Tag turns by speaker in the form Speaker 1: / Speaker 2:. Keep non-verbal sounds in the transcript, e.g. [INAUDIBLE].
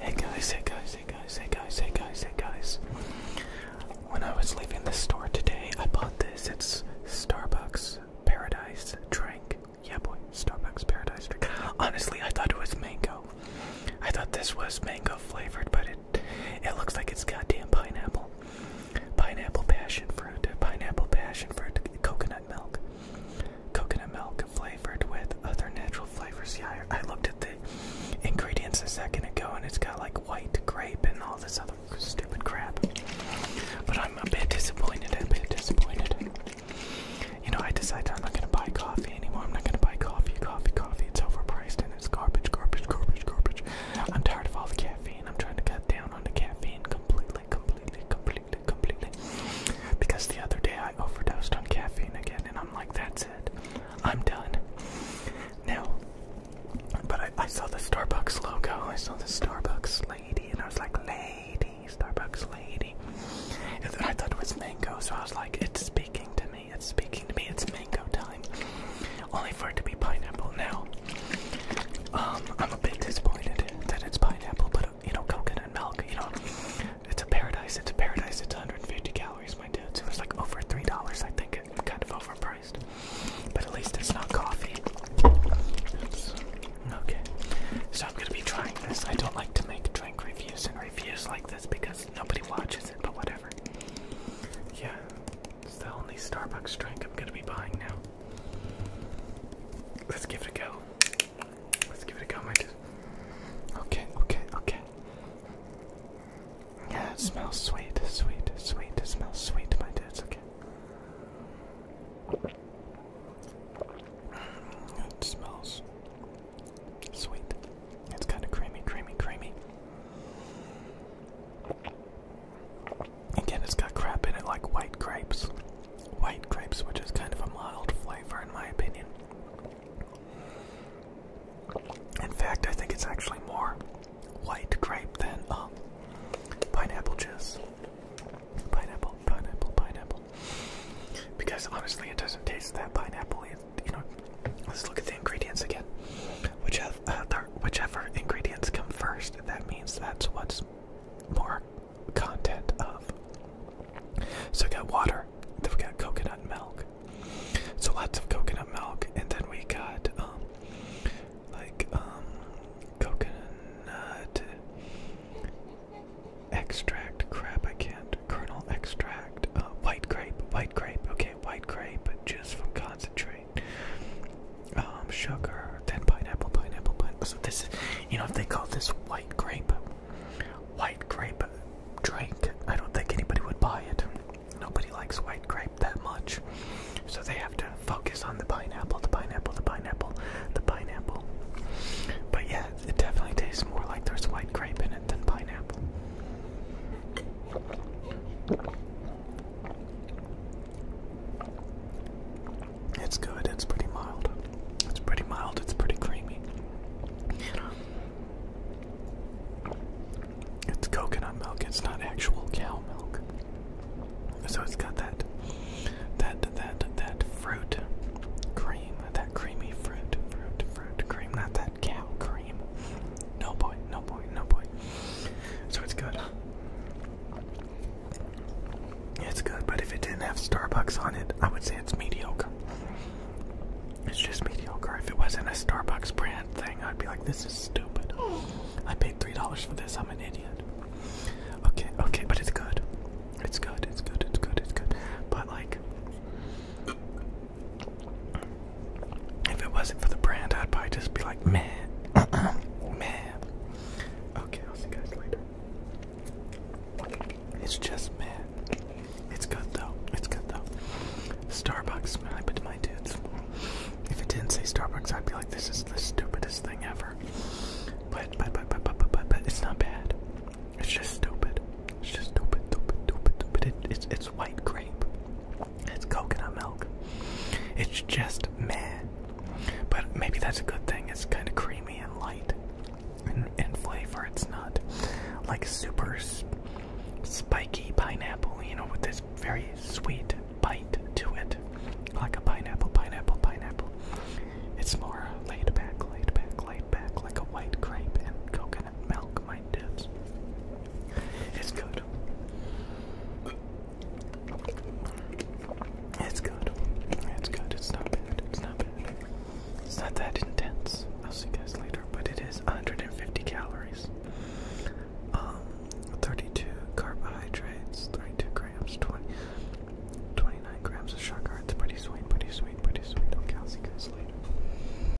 Speaker 1: Hey guys, hey guys, hey guys, hey guys, hey guys, hey guys. When I was leaving the store today, I bought this. It's Starbucks Paradise Drink. Yeah, boy, Starbucks Paradise Drink. Honestly, I thought it was mango. I thought this was mango flavored, but it it looks like it's goddamn pineapple. Pineapple passion fruit, pineapple passion fruit, coconut milk. Coconut milk, flavored with other natural flavors. Yeah, I looked at the ingredients a second ago and it's got like white grape and all this other stupid crap. But I'm a bit disappointed, a bit disappointed. You know, I decided I'm not gonna buy coffee anymore. I'm not gonna buy coffee, coffee, coffee. It's overpriced and it's garbage, garbage, garbage, garbage. I'm tired of all the caffeine. I'm trying to cut down on the caffeine completely, completely, completely completely. Because the other day I overdosed on caffeine again, and I'm like, that's it. I'm done. Now, but I, saw the Starbucks logo, I saw the Starbucks lady, and I was like, lady, Starbucks lady. And then I thought it was mango, so I was like, it's speaking to me, it's speaking to me, it's mango time. Only for it to be pineapple now. Um, I'm a bit disappointed that it's pineapple, but you know coconut milk. You know, it's a paradise. It's a paradise. It's 150 calories, my dude. It was like over three dollars, I think. It's kind of overpriced, but at least it's not coffee. Okay, so I'm gonna be trying this. I don't like to make drink reviews and reviews like this because nobody watches it. But whatever. Yeah, it's the only Starbucks drink I'm gonna be buying now. Let's give it a go. Let's give it a go, my dude. Okay, okay, okay. Yeah, it smells sweet, sweet, sweet. It smells sweet, my dude. okay. It smells sweet. It's kind of creamy, creamy, creamy. Again, it's got crap in it like white grapes. White grapes, which is kind of a mild flavor in my opinion. In fact, I think it's actually more white grape than um, pineapple juice. Pineapple, pineapple, pineapple. Because honestly, it doesn't taste that pineapple. you know, let's look at the ingredients again. Uh, whichever ingredients come first, that means that's what's more content of. So we got water, then we got coconut milk. So lots of coconut milk, and then we got um, like um, coconut extract. Crap, I can't. Kernel extract. Uh, white grape. White grape. Okay, white grape juice from concentrate. Um, sugar, then pineapple, pineapple, pineapple. So this, you know, if they call this white grape, white grape drink, I don't think anybody would buy it. Nobody likes white grape that much. So they have to focus on the pineapple, the pineapple, the pineapple, the pineapple. But yeah, it definitely tastes more like there's white grape in it than pineapple. It's good. It's pretty mild. It's pretty mild. It's pretty creamy. It's coconut milk. It's not actual cow milk. So it's got that that that that fruit cream, that creamy fruit, fruit, fruit cream, not that cow cream. No boy, no boy, no boy. So it's good. It's good, but if it didn't have Starbucks on it, I would say it's mediocre. It's just mediocre. If it wasn't a Starbucks brand thing, I'd be like, this is stupid. I paid $3 for this, I'm an idiot. Okay, okay, but it's good. It's good, it's good, it's good, it's good. But like, if it wasn't for the brand, I'd probably just be like, man, [COUGHS] man. Okay, I'll see you guys later. It's just man. It's good though. It's good though. Starbucks, I put to my dudes. If it didn't say Starbucks, I'd be like, this is the stupidest thing ever. But but but but but but but, it's not bad. It's just stupid. It's just stupid, stupid, stupid, stupid. it's it's white grape. It's coconut milk. It's just meh. But maybe that's a good thing. It's kind of creamy and light and in flavor. It's not like super spiky pineapple, you know, with this very sweet bite to it. Like a pineapple, pineapple, pineapple. It's more laid back, laid back, laid back, like a white grape and coconut milk my dips. It's good. It's good. It's good. It's not bad. It's not bad. It's not that intense. I'll see you guys later. But it is 150 calories. Um, 32 carbohydrates, 32 grams, 20, 29 grams of sugar. It's pretty sweet, pretty sweet, pretty sweet. Okay, I'll later.